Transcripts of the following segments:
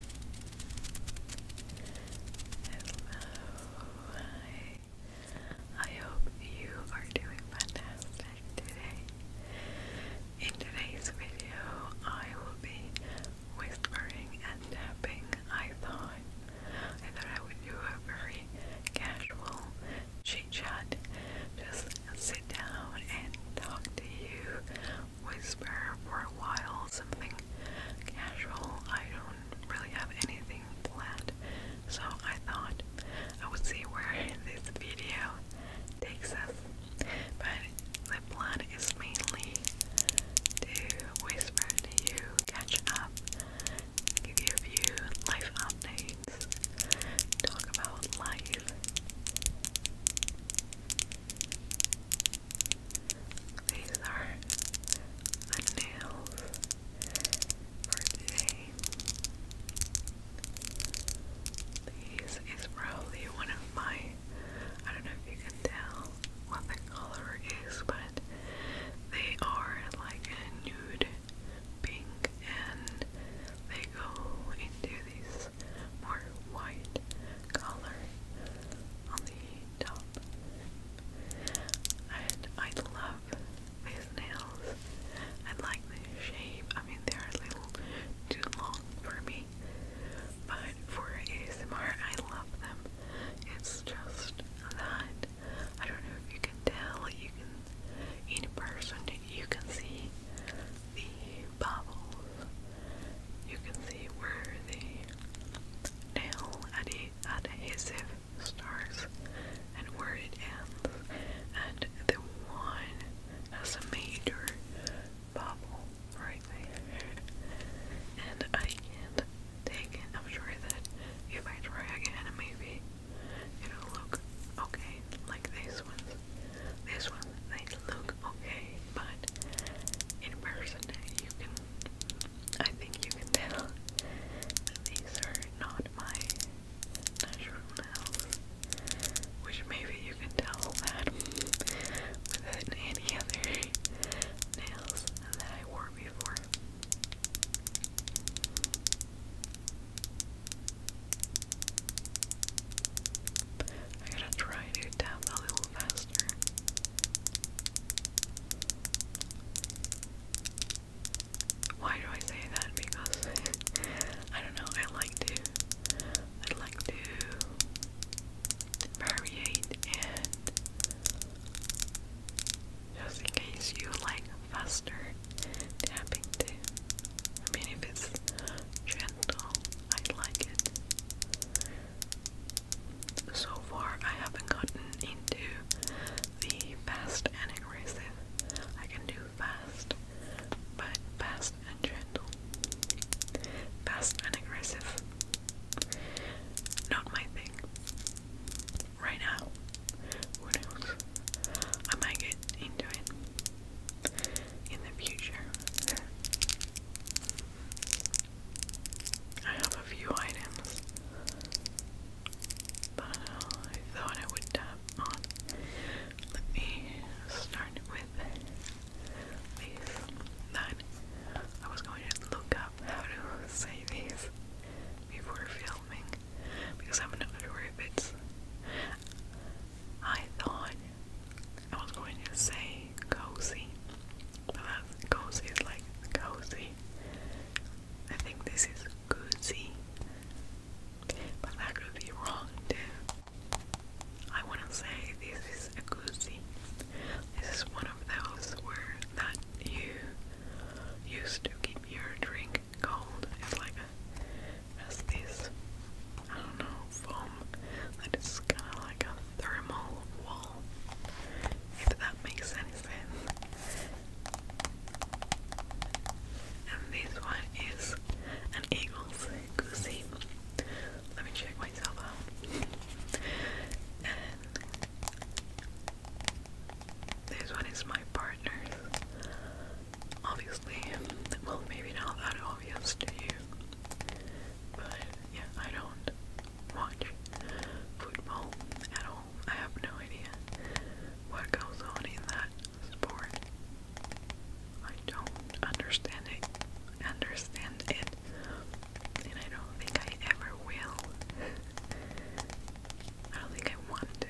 I hope you are doing fantastic today. In today's video, I will be whispering and tapping. I thought I thought I would do a very casual chit chat. Just sit down and talk to you whisper for a while, something casual. I don't really have anything planned, so I thought I would see where this video takes us. But the plan is mainly to whisper to you, catch up, give you a few life updates, talk about life. These are the nails for today. These is probably one of my, I don't know if you can tell what the color is, but they are like a nude pink and they go into this more white collar on the top. And I love these nails. I like the shape. I mean, they're a little too long for me, but for ASMR, I love them. It's just that I don't know if you can tell. You can in person, you can see the bubbles. You can see where the nail adhesive starts and where it ends, and the one has a major bubble right there. And I can take I'm sure that if I try again, maybe it'll look okay, like this one. This one, they look okay but in person you can, I think you can tell these are not my natural nails, which maybe you can tell that within any other nails that I wore before. I gotta try to tap that a little faster. Why do I say that? Because I don't know, I like to I like to variate and just in case you like faster tapping too. I mean if it's gentle, I like it. So far, I haven't gotten into the fast and aggressive. I can do fast, but fast and gentle. Fast and aggressive. Not my thing. Right now. Who knows? I might get into it in the future. I have a few items that uh, I thought I would tap on. Let me start with these. Then I was going to look up how to say these before filming because I'm not sure if it's. I thought I was going to say cozy, cozy. Well, cozy is like cozy. I think this is cozy, but that could be wrong too. I want to say this is a cozy. This is one of those words that you used to keep your drink cold. It's like a, as this, I don't know, foam that is kind of like a thermal wall, if that makes any And this one is an eagle's goosey. Let me check myself out. And this one is my partner's. Obviously, well, maybe not that obvious to you, but yeah, I don't watch football at all. I have no idea what goes on in that sport. I don't understand it. Understand it. And I don't think I ever will. I don't think I want to.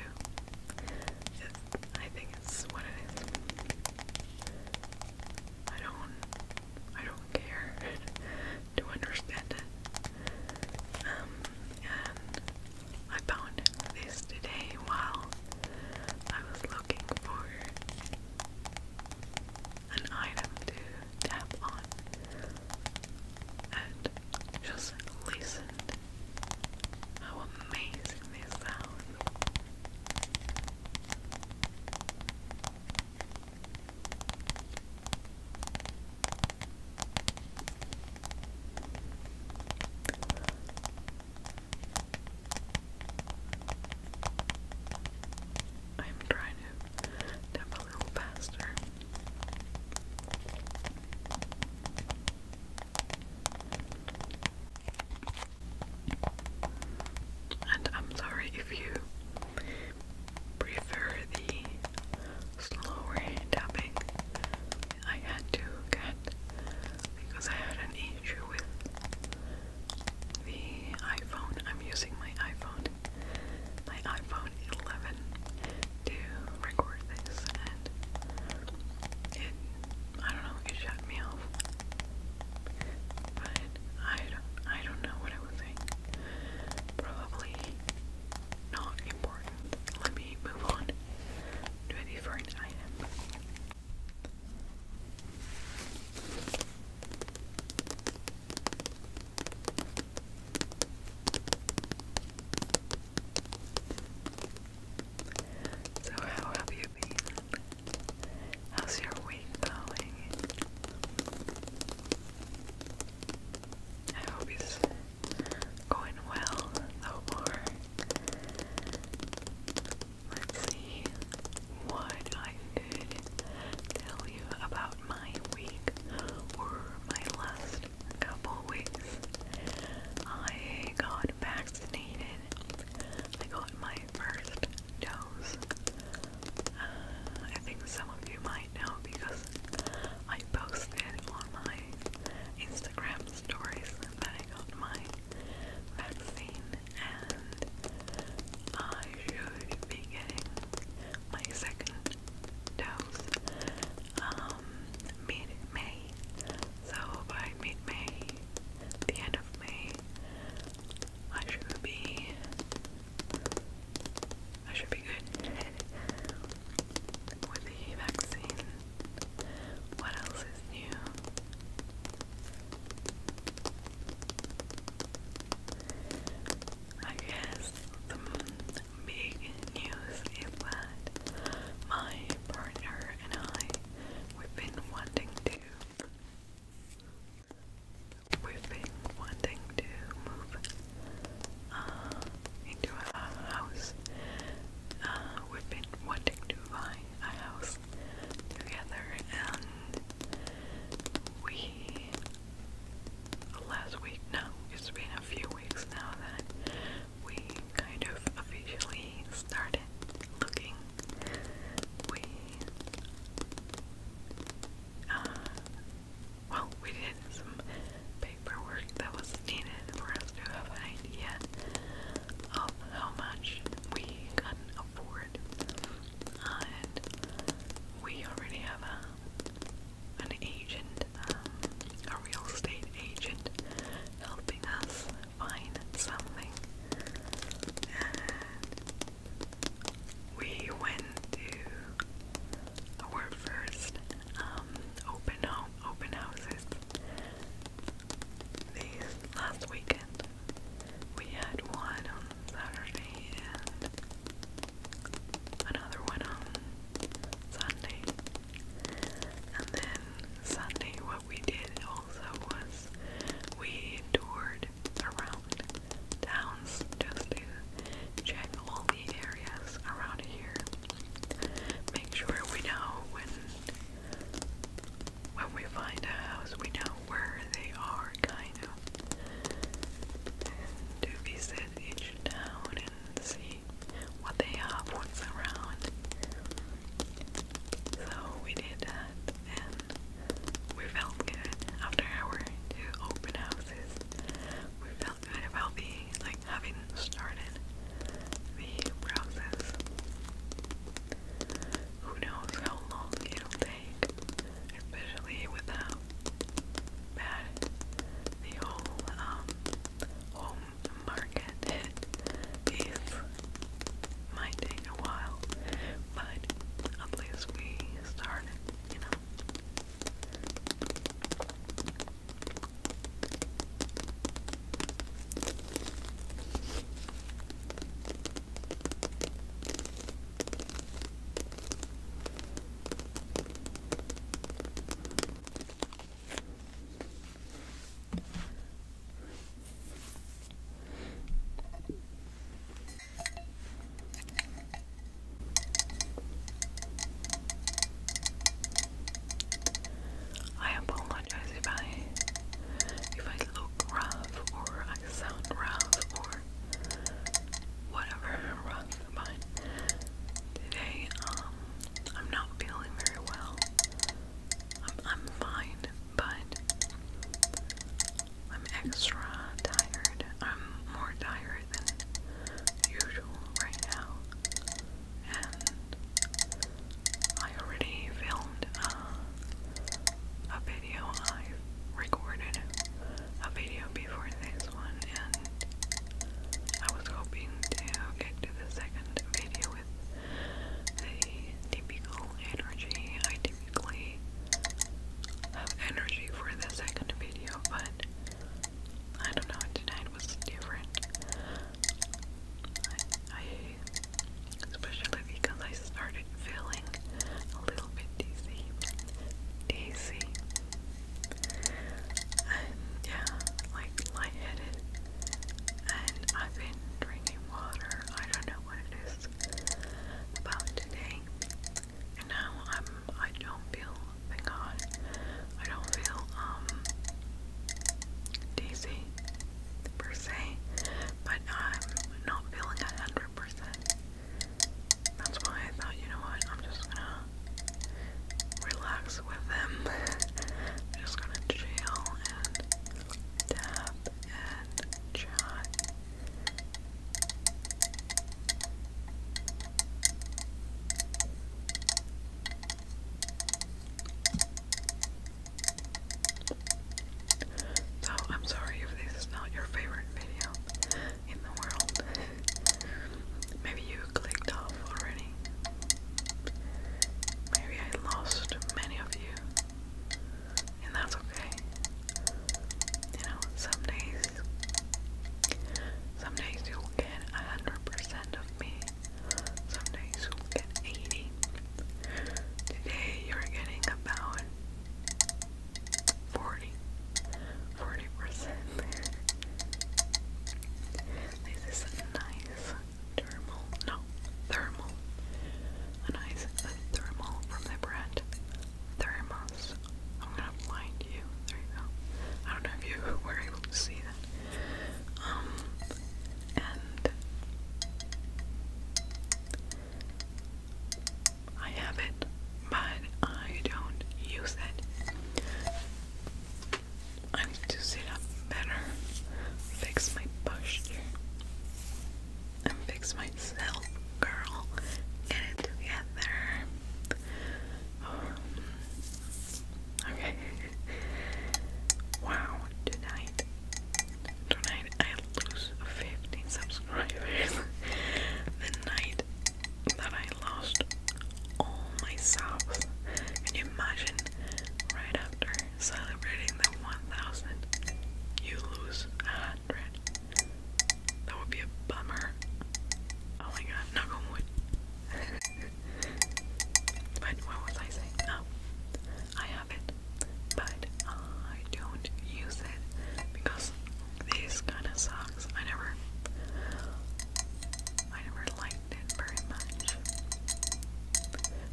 I think it's what it is. I don't I don't care to understand it. Um, and I found this today while I was looking for an item to tap on and just listen how amazing this sound I'm trying to tap a little faster. And I'm sorry if you prefer the slower tapping I had to get because I had an issue with the iPhone. I'm using my iPhone, my iPhone 11 to record this and it, I don't know, it shut me off. But I don't, I don't know what I Probably not important. Let me move on to a different item. So, how have you been? How's your week going? I hope it's going well, though more. Let's see what I could tell you about my week or my last couple weeks. I got vaccinated. I got my first nose. Uh, I think some of you might know because I posted on my Instagram stories that I got my vaccine and I should be getting my second dose um, mid-May. So by mid-May, the end of May, I should be I should be good with the vaccine. What else is new? I guess the big news is that my partner and I, have been wanting to We've been wanting to move uh, into a house. Uh, we've been wanting to buy a house together, and we last week now, it's been a few weeks now that we kind of officially started looking we uh, well, we did some paperwork that was needed for us to have an idea of how much we can afford, and we already have a an agent, um, a real estate agent, helping us find something, we went to our first um, open home open houses these last weekend. We had one on Saturday and another one on Sunday. And then Sunday what we did also was we toured around towns just to check all the areas around here. Make sure we know when when we find a house we know where they are kind of to visit each town and see what they have, what's around. So we did that and we felt good after our two open houses. We felt good about being like having started the process. Who knows how long it'll take, especially with bad the whole um, home market is. Might take a while, but at least we get started, you know. I apologize if I if I look rough or I sound rough or whatever rough but today um I'm not feeling very well. I'm fine but I'm extra tired. I'm more tired than usual right now. And I already filmed uh, a video. I recorded a video before this one, and I was hoping to get to the second video with the typical energy I typically basically have energy for the second video, but I don't know, tonight was different. I especially because I started feeling a little bit dizzy. Dizzy. And yeah, like lightheaded. And I've been drinking water. I don't know what it is about today. And now I'm I don't feel thank God. I don't feel um dizzy per se. But I'm not feeling a hundred percent. That's why I thought, you know what, I'm just gonna relax with them. just gonna chill and tap and chat so, oh, I'm sorry if this is not your favorite video in the world. Maybe you clicked off already. Maybe I lost many of you and that's okay. You know, some days, some days you'll get a hundred percent of me. Some days you'll get eighty. Today you're getting about forty, forty percent. This is a nice thermal, no, thermal, a nice thermal from the brand thermos. I'm gonna blind you. There you I don't know if you were able to see that. Um, and I have it, but I don't use it. I need to sit up better, fix my posture and fix myself, girl. Get it together. Um, okay. wow, tonight, tonight I lose 50 subscribers. the night that I lost all my subs. Can you imagine? Right after celebrating the 1000, you lose hundred. That would be a bummer. Oh my god, knock on wood. but what was I saying? Oh, I have it, but I don't use it because this kind of sucks. I never, I never liked it very much.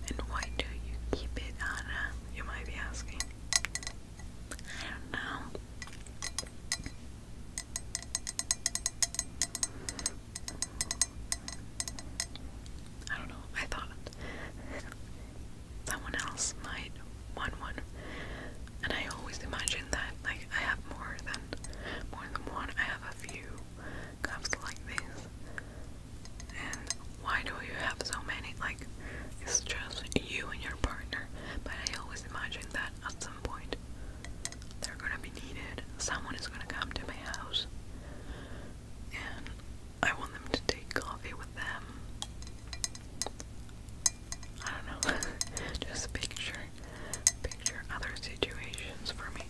And why do you keep it, Anna? You might be asking. I don't know. I don't know. I thought someone else might want one, and I always imagine that like I have more than more than one. I have a few cups like this, and why do you have so many? Like, it's just you and your partner. But I always imagine that at some point they're gonna be needed. Someone is gonna come to my house, and I want them to take coffee with them. I don't know. just picture, picture other situations for me.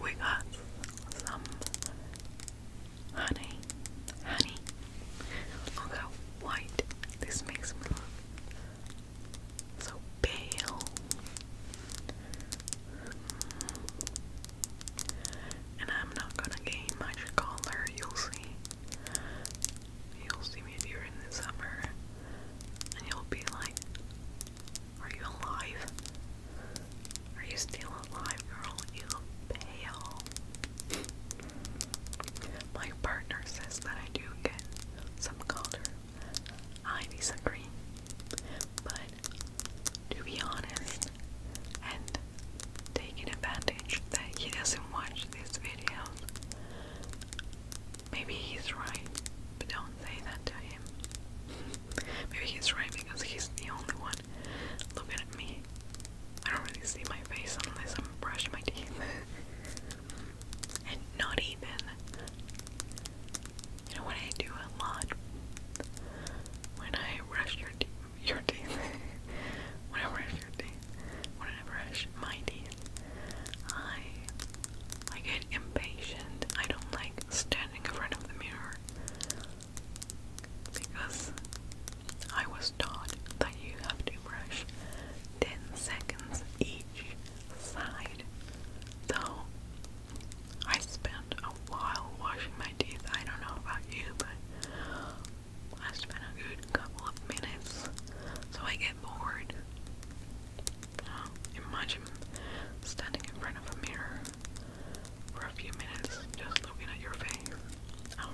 We got some honey, honey. Look how white this makes me look. So pale. And I'm not gonna gain much color, you'll see. You'll see me in the summer and you'll be like, Are you alive? Are you still alive, girl? You look pale. My partner says that I do get some color. I disagree. But to be honest and taking advantage that he doesn't watch these videos, Maybe he's right, but don't say that to him. Maybe he's right because he's the only one looking at me. I don't really see my face unless I'm brushing my teeth. and not even. when I do a lot? When I brush your, te your teeth. when I brush your teeth. When I brush my teeth. I I get impatient. I don't like standing in front of the mirror because I was taught that you have to brush 10 seconds each side. Though I spent a while washing my teeth. I don't know about you, but I spent a good couple of minutes so I get bored. imagine standing in front of a mirror for a few minutes just looking at your face. Oh,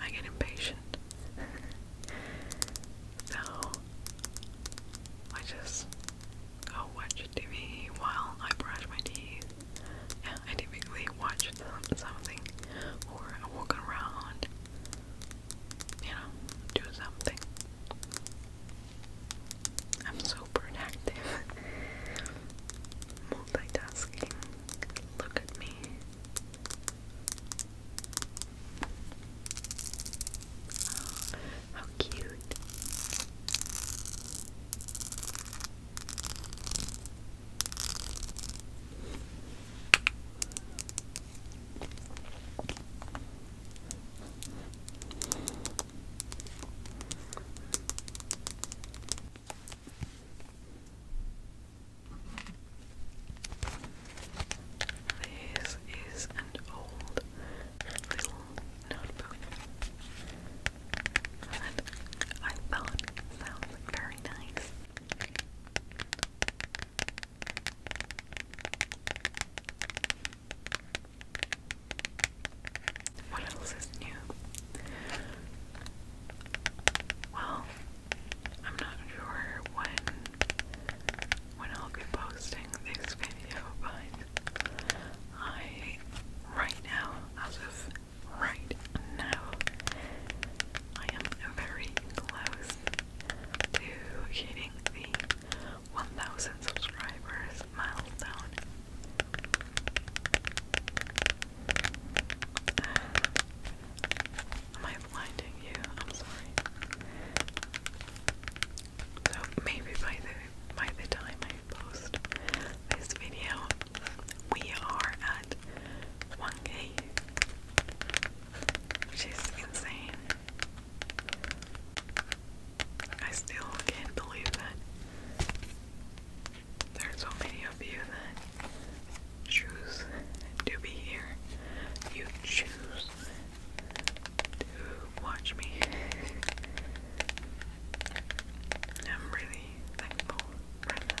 I get impatient. so I just go watch TV while I brush my teeth. Yeah, I typically watch something or walk around you know, do something. I'm so productive. Multitasking. Look at me. how cute. This is an old little notebook that I thought sounds very nice. What else is new? Well, I'm not sure when when I'll be posting this video, but I right now, as of right now, I am very close to hitting the 1000 subscribers milestone. Am I blinding you? I'm sorry. So maybe by the by the time I post this video, we are at 1k. She's insane. I still can't believe that there are so many of you that choose to be here. You choose to watch me. I'm really thankful for that.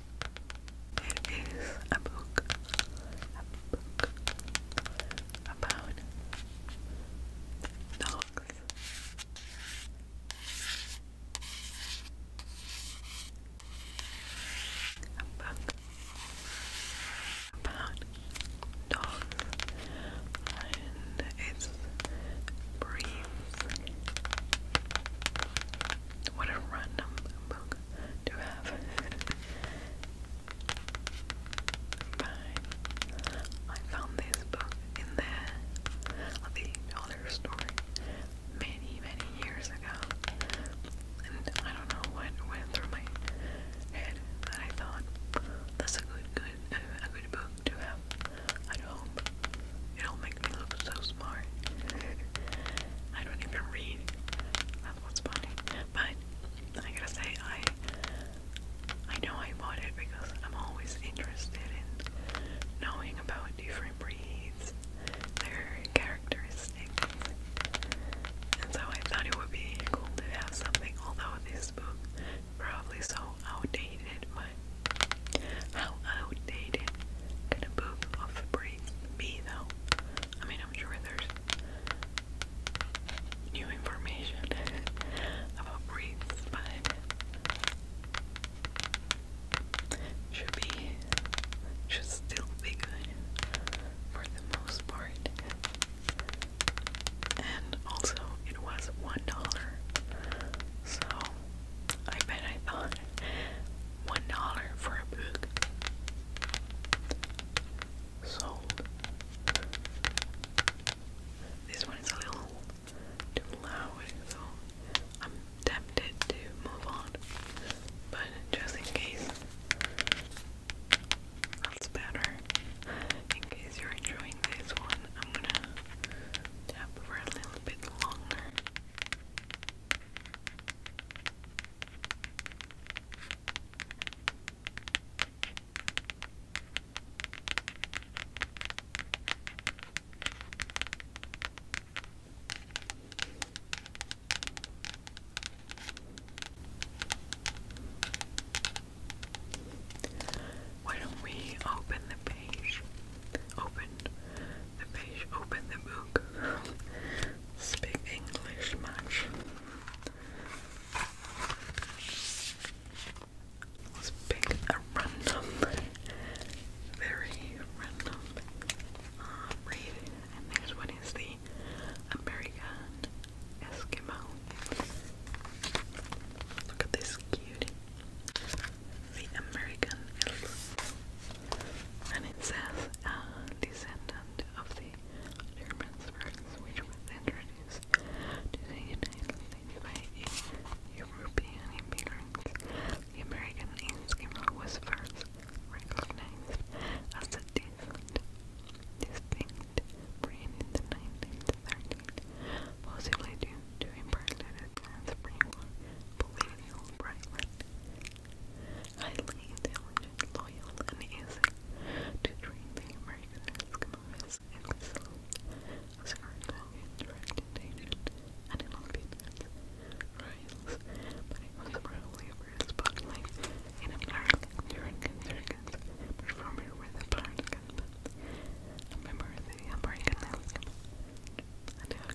It is a book, a book about dogs. A book about dogs and its breeds. What a random book to have Bye. I found this book in the the dollar store many, many years ago. And I don't know what went through my head that I thought that's a good, good, a good book to have at home. It'll make look so smart. I don't even read. That's what's funny. But I gotta say, I I know I bought it because I'm always interested in knowing about different breeds, their characteristics, and so I thought it would be cool to have something. Although this book probably so outdated, how outdated could a book of breeds? be though. I mean, I'm sure there's new information about breeds, but should be should still be good for the most part. And also, it was one dollar, so I bet I thought one dollar for a book. Sold. This one is a little too loud, so I'm tempted to move on. But just in case, that's better. In case you're enjoying this one, I'm gonna tap for a little bit longer. Why don't we open the page? Open the page, open the book speak English much. Let's pick a random, very random uh, read, and this one the American Eskimo. Look at this cutie. The American and it says a uh, descendant of the Germans, which was introduced to the United States by European immigrant. The American Eskimo was first recognized as a distinct, distinct in the 1930s, possibly due to imparted advanced brainwashing highly intelligent, loyal, and easy to train the American Eskimos. Excellent as her interacted and in obedience but it was probably over his spotlight in American circus performer with a part gun. Remember the American Eskimo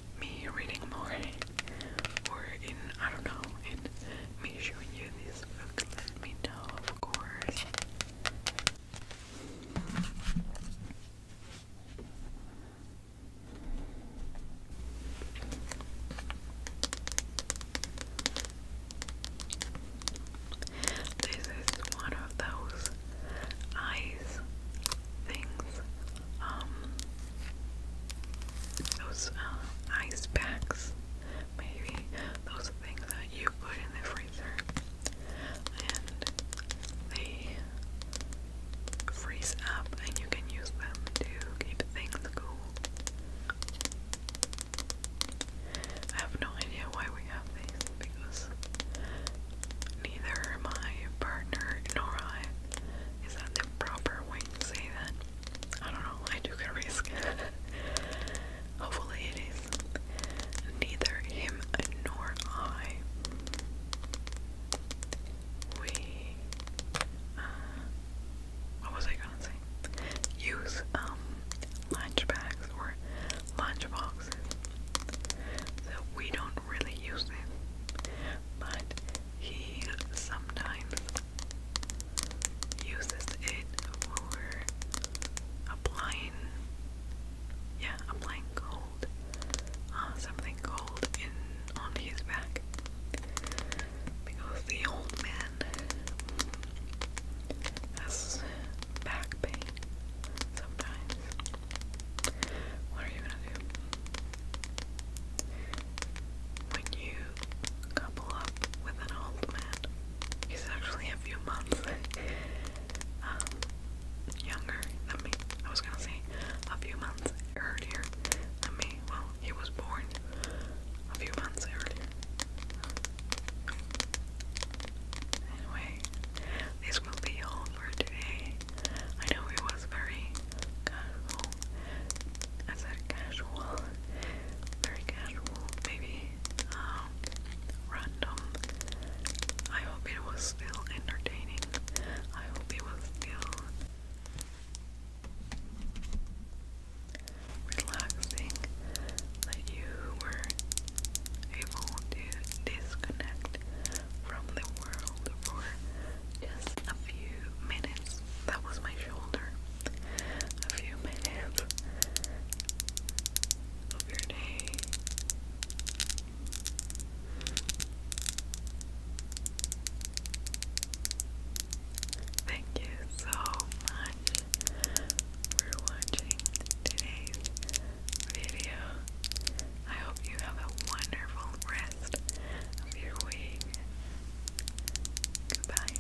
me reading more or in I don't know in me showing you this book let me know of course this is one of those eyes things um those uh, ice packs, maybe those things that you put in the freezer and they freeze up, and you can use them to keep things cool. I have no idea why we have these because neither my partner nor I is that the proper way to say that? I don't know. I took a risk. Hopefully, it is. Neither him nor I. We. Uh, what was I gonna say? Use um, lunch bags or lunch boxes. So we don't really use them, but he sometimes uses it for applying, yeah, applying cold, uh, something cold in on his back because the old man has back pain sometimes. What are you gonna do? when you couple up with an old man, he's actually a few months um, younger than me. I was gonna say a few months earlier than me. Well, he was born a few months earlier. Anyway, this will be all for today. I know it was very casual. I said casual, very casual, maybe um, random. I hope it was still entertaining. I hope it was still relaxing that you were able to disconnect from the world for just a few minutes. That was my shoulder. A few minutes of your day. Thank you so much for watching today's video. I hope you have a wonderful rest of your week. Goodbye.